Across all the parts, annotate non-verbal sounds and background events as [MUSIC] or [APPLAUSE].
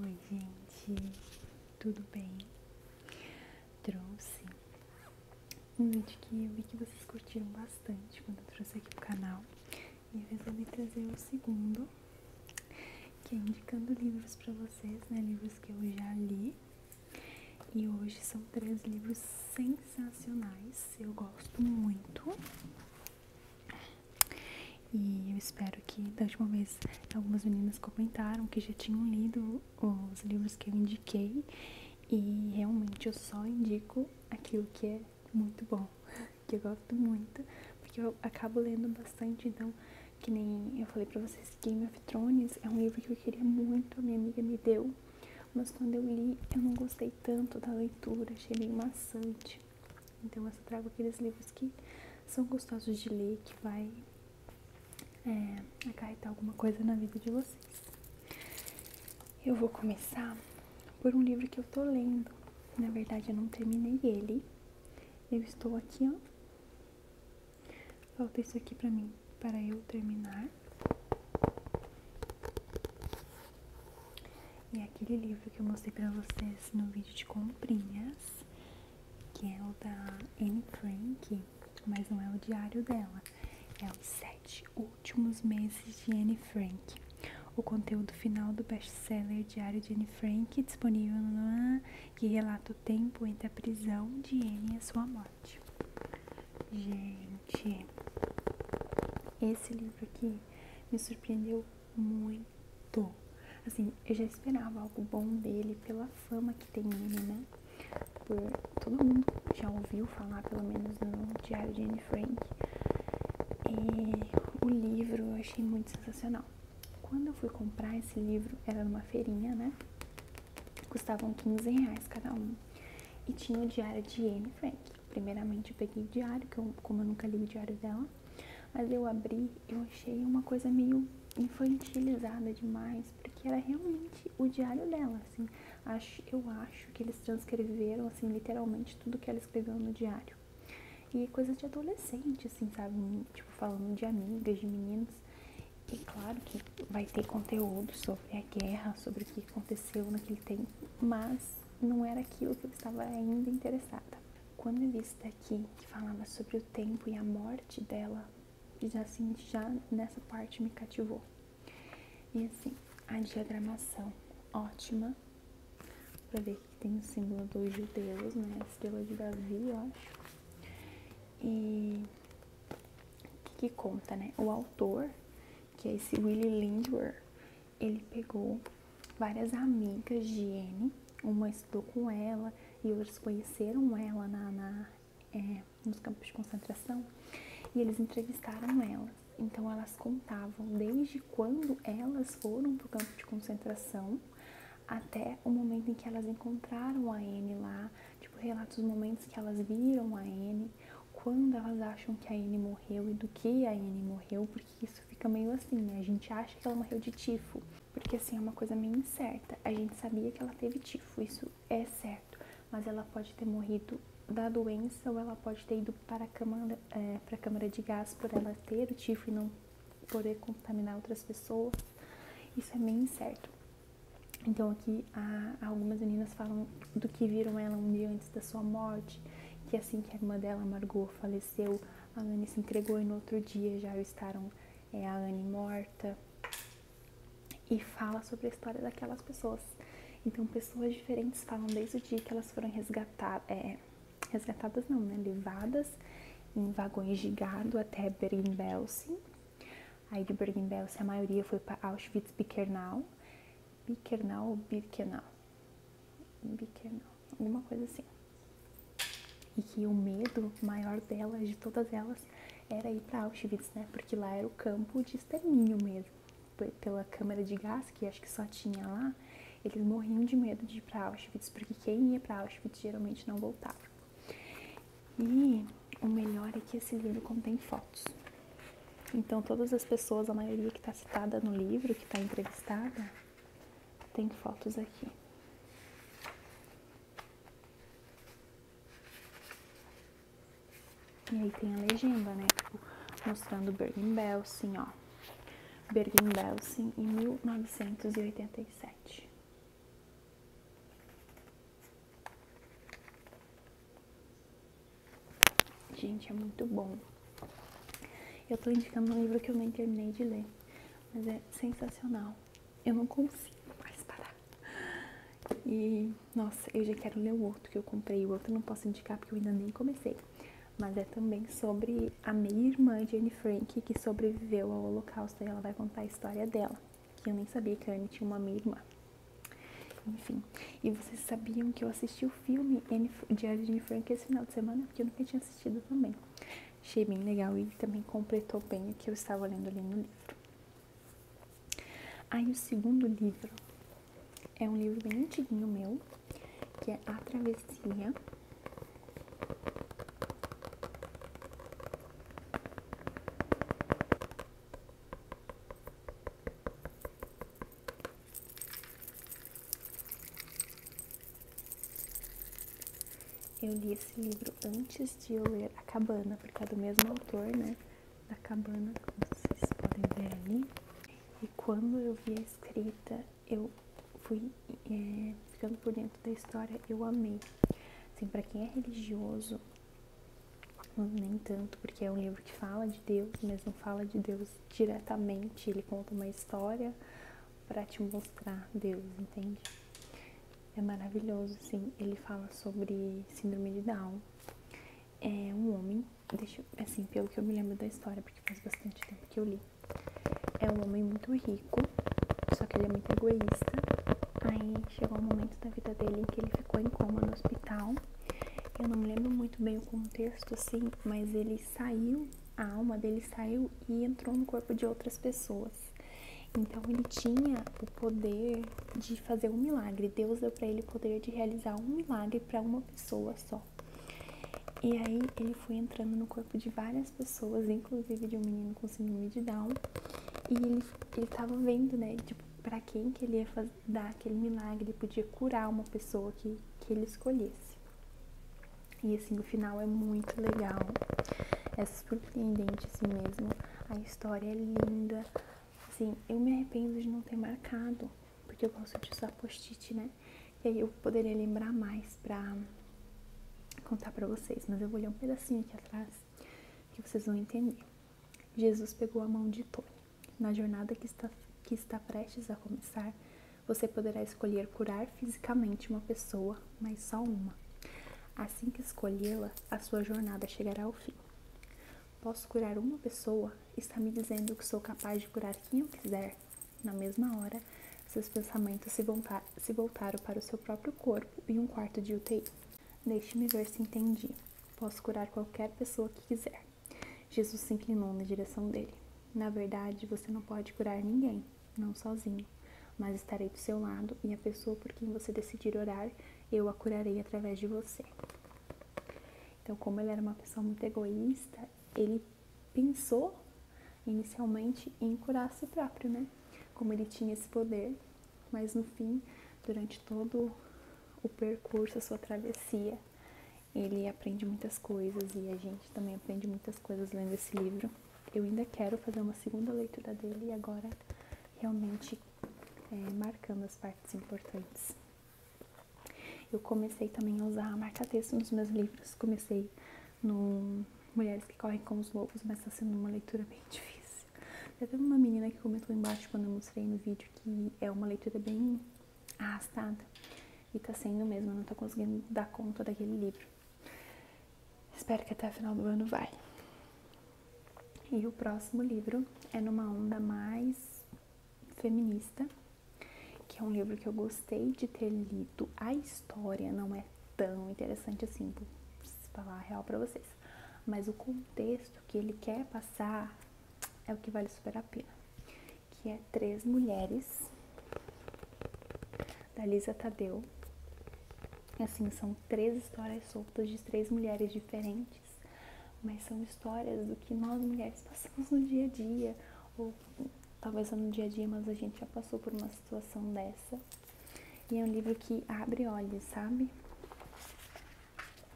Oi, gente, tudo bem? Trouxe um vídeo que eu vi que vocês curtiram bastante quando eu trouxe aqui pro canal e eu resolvi trazer o segundo, que é indicando livros para vocês, né? Livros que eu já li. E hoje são três livros sensacionais, eu gosto muito. E eu espero que, da última vez, algumas meninas comentaram que já tinham lido os livros que eu indiquei. E realmente eu só indico aquilo que é muito bom, [LAUGHS] que eu gosto muito, porque eu acabo lendo bastante. Então, que nem eu falei pra vocês, Game of Thrones é um livro que eu queria muito, a minha amiga me deu. Mas quando eu li, eu não gostei tanto da leitura, achei meio maçante. Então, eu só trago aqueles livros que são gostosos de ler, que vai é, acarretar alguma coisa na vida de vocês. Eu vou começar por um livro que eu tô lendo. Na verdade, eu não terminei ele. Eu estou aqui, ó. Falta isso aqui pra mim, para eu terminar. E é aquele livro que eu mostrei pra vocês no vídeo de comprinhas que é o da Anne Frank, mas não é o diário dela, é os sete últimos meses de Anne Frank. O conteúdo final do best-seller Diário de Anne Frank, disponível no que relata o tempo entre a prisão de Anne e a sua morte. Gente, esse livro aqui me surpreendeu muito. Assim, eu já esperava algo bom dele pela fama que tem ele, né? Por todo mundo já ouviu falar, pelo menos no Diário de Anne Frank. E o livro eu achei muito sensacional. Quando eu fui comprar esse livro, era numa feirinha, né? Custavam 15 reais cada um. E tinha o diário de Anne Frank. Primeiramente eu peguei o diário, que eu, como eu nunca li o diário dela, mas eu abri, eu achei uma coisa meio infantilizada demais, porque era realmente o diário dela, assim. Acho, eu acho que eles transcreveram, assim, literalmente tudo que ela escreveu no diário. E é coisa de adolescente, assim, sabe? Tipo, falando de amigas, de meninos. E claro que vai ter conteúdo sobre a guerra, sobre o que aconteceu naquele tempo, mas não era aquilo que eu estava ainda interessada. Quando eu vi esse que falava sobre o tempo e a morte dela, e assim, já nessa parte me cativou. E assim, a diagramação ótima, pra ver que tem o símbolo dos judeus, né? A estrela de Davi, eu acho. E o que, conta, né? O autor, que é esse Willie Lindwer, ele pegou várias amigas de Anne, uma estudou com ela e outras conheceram ela na, é, nos campos de concentração e eles entrevistaram elas. Então elas contavam desde quando elas foram para o campo de concentração até o momento em que elas encontraram a Anne lá, tipo relatos os momentos que elas viram a Anne, quando elas acham que a Anne morreu e do que a Anne morreu, que isso fica meio assim, né? A gente acha que ela morreu de tifo, porque assim é uma coisa meio incerta. A gente sabia que ela teve tifo, isso é certo, mas ela pode ter morrido da doença ou ela pode ter ido para a câmara, é, para a câmara de gás por ela ter o tifo e não poder contaminar outras pessoas. Isso é meio incerto. Então aqui algumas meninas falam do que viram ela um dia antes da sua morte, que assim que a irmã dela, Margot, faleceu a Anne se entregou e no outro dia já estaram é, a Anne morta. E fala sobre a história daquelas pessoas. Então, pessoas diferentes falam desde o dia que elas foram resgatadas, é, resgatadas não, né, Levadas em vagões de gado até Bergen-Belsen. Aí de Bergen-Belsen a maioria foi para Auschwitz-Birkenau Biquernal ou Birkenau. Biquernal, alguma coisa assim. E que o medo maior delas de todas elas, era ir para Auschwitz, né? Porque lá era o campo de extermínio mesmo. Pela câmara de gás, que acho que só tinha lá, eles morriam de medo de ir para Auschwitz, porque quem ia para Auschwitz geralmente não voltava. E o melhor é que esse livro contém fotos. Então, todas as pessoas, a maioria que está citada no livro, que está entrevistada, tem fotos aqui. E aí tem a legenda, né? Tipo, mostrando mostrando Bergen Belsen, ó. Bergen Belsen em 1987. Gente, é muito bom. Eu tô indicando um livro que eu nem terminei de ler, mas é sensacional. Eu não consigo mais parar. E, nossa, eu já quero ler o outro que eu comprei. O outro não posso indicar porque eu ainda nem comecei. Mas é também sobre a minha irmã Jane Frank, que sobreviveu ao Holocausto. E ela vai contar a história dela. Que eu nem sabia que a Anne tinha uma meia irmã. Enfim, e vocês sabiam que eu assisti o filme de Anne Frank esse final de semana, porque eu nunca tinha assistido também. Achei bem legal e também completou bem o que eu estava lendo ali no livro. Aí o segundo livro é um livro bem antiguinho meu, que é A Travessia. Eu li esse livro antes de eu ler A Cabana, porque é do mesmo autor, né? Da Cabana, como vocês podem ver ali. E quando eu vi a escrita, eu fui é, ficando por dentro da história, eu amei. Assim, para quem é religioso, nem tanto, porque é um livro que fala de Deus, mesmo fala de Deus diretamente, ele conta uma história para te mostrar Deus, entende? É maravilhoso, assim Ele fala sobre síndrome de Down. É um homem, deixa, assim, pelo que eu me lembro da história, porque faz bastante tempo que eu li. É um homem muito rico, só que ele é muito egoísta. Aí chegou um momento da vida dele em que ele ficou em coma no hospital eu não me lembro muito bem o contexto, assim, mas ele saiu, a alma dele saiu e entrou no corpo de outras pessoas. Então ele tinha o poder de fazer um milagre. Deus deu para ele o poder de realizar um milagre para uma pessoa só. E aí ele foi entrando no corpo de várias pessoas, inclusive de um menino com síndrome de Down. E ele, ele tava vendo, né, tipo, pra quem que ele ia fazer, dar aquele milagre, podia curar uma pessoa que, que ele escolhesse. E assim, o final é muito legal, é surpreendente assim mesmo, a história é linda. Assim, eu me arrependo de não ter marcado, porque eu gosto de usar post-it, né? E aí eu poderia lembrar mais pra contar pra vocês, mas eu vou ler um pedacinho aqui atrás que vocês vão entender. Jesus pegou a mão de Tony. Na jornada que está, que está prestes a começar, você poderá escolher curar fisicamente uma pessoa, mas só uma. Assim que escolhê-la, a sua jornada chegará ao fim. Posso curar uma pessoa? Está me dizendo que sou capaz de curar quem eu quiser. Na mesma hora, seus pensamentos se voltaram para o seu próprio corpo e um quarto de UTI. Deixe-me ver se entendi. Posso curar qualquer pessoa que quiser. Jesus se inclinou na direção dele. Na verdade, você não pode curar ninguém, não sozinho, mas estarei do seu lado e a pessoa por quem você decidir orar, eu a curarei através de você. Então, como ele era uma pessoa muito egoísta, ele pensou inicialmente em curar a si próprio, né? Como ele tinha esse poder, mas no fim, durante todo o percurso, a sua travessia, ele aprende muitas coisas e a gente também aprende muitas coisas lendo esse livro. Eu ainda quero fazer uma segunda leitura dele e agora realmente é, marcando as partes importantes. Eu comecei também a usar a marca-texto nos meus livros. Comecei no Mulheres que Correm com os Lobos, mas está sendo uma leitura bem difícil. Teve uma menina que comentou embaixo quando eu mostrei no vídeo que é uma leitura bem arrastada e tá sendo mesmo, eu não tô conseguindo dar conta daquele livro. Espero que até o final do ano vai. E o próximo livro é numa onda mais feminista, que é um livro que eu gostei de ter lido. A história não é tão interessante assim, vou falar a real para vocês, mas o contexto que ele quer passar é o que vale super a pena. Que é Três Mulheres, da Lisa Tadeu. Assim, são três histórias soltas de três mulheres diferentes, mas são histórias do que nós mulheres passamos no dia a dia, ou talvez não no dia a dia, mas a gente já passou por uma situação dessa. E é um livro que abre olhos, sabe?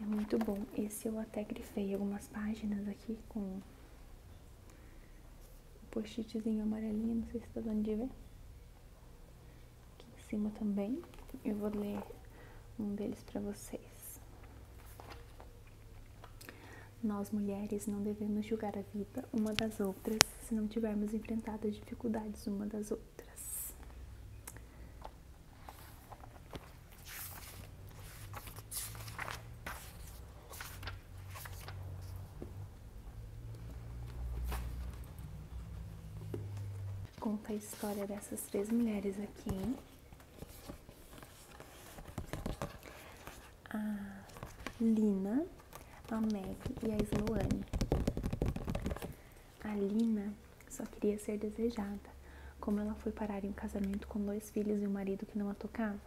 É muito bom. Esse eu até grifei algumas páginas aqui com o um amarelinho, não sei se tá dando de ver. Aqui em cima também. Eu vou ler um deles para vocês. Nós mulheres não devemos julgar a vida uma das outras se não tivermos enfrentado as dificuldades uma das outras outras. Conta a história dessas três mulheres aqui. A Lina, a Meg e a Sloane. Alina só queria ser desejada, como ela foi parar em um casamento com dois filhos e um marido que não a tocava.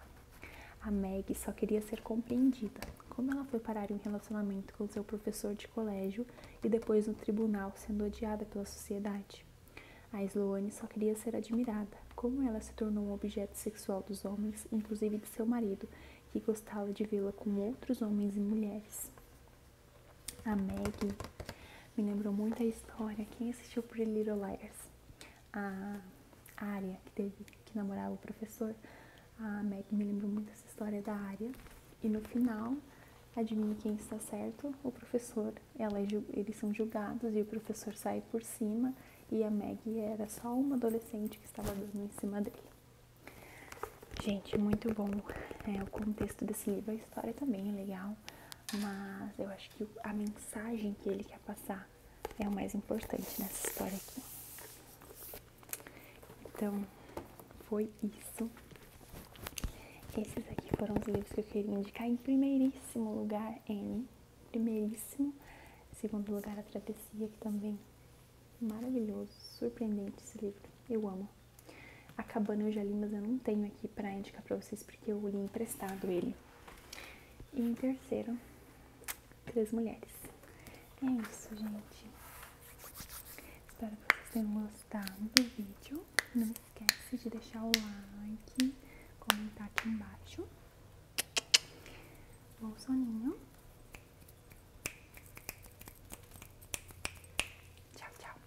A Meg só queria ser compreendida, como ela foi parar em um relacionamento com seu professor de colégio e depois no tribunal, sendo odiada pela sociedade. A Sloane só queria ser admirada, como ela se tornou um objeto sexual dos homens, inclusive de seu marido, que gostava de vê-la com outros homens e mulheres. A Maggie me lembrou muito a história. Quem assistiu por Little Liars? A área que teve que namorava o professor. A Maggie me lembrou muito essa história da área. E no final, adivinha quem está certo? O professor. Ela, é eles são julgados e o professor sai por cima. E a Maggie era só uma adolescente que estava dando em cima dele. Gente, muito bom é, o contexto desse livro história também é legal, mas eu acho que a mensagem que ele quer passar é o mais importante nessa história aqui. Então, foi isso. Esses aqui foram os livros que eu queria indicar em primeiríssimo lugar, N. Primeiríssimo. Segundo lugar, A Travessia, que também é maravilhoso, surpreendente esse livro. Eu amo. Acabando cabana eu mas eu não tenho aqui pra indicar pra vocês porque eu li emprestado ele. E em terceiro, Três Mulheres. É isso, gente. Espero que vocês tenham gostado do vídeo. Não esquece de deixar o like, comentar aqui embaixo. Bom soninho. Tchau, tchau.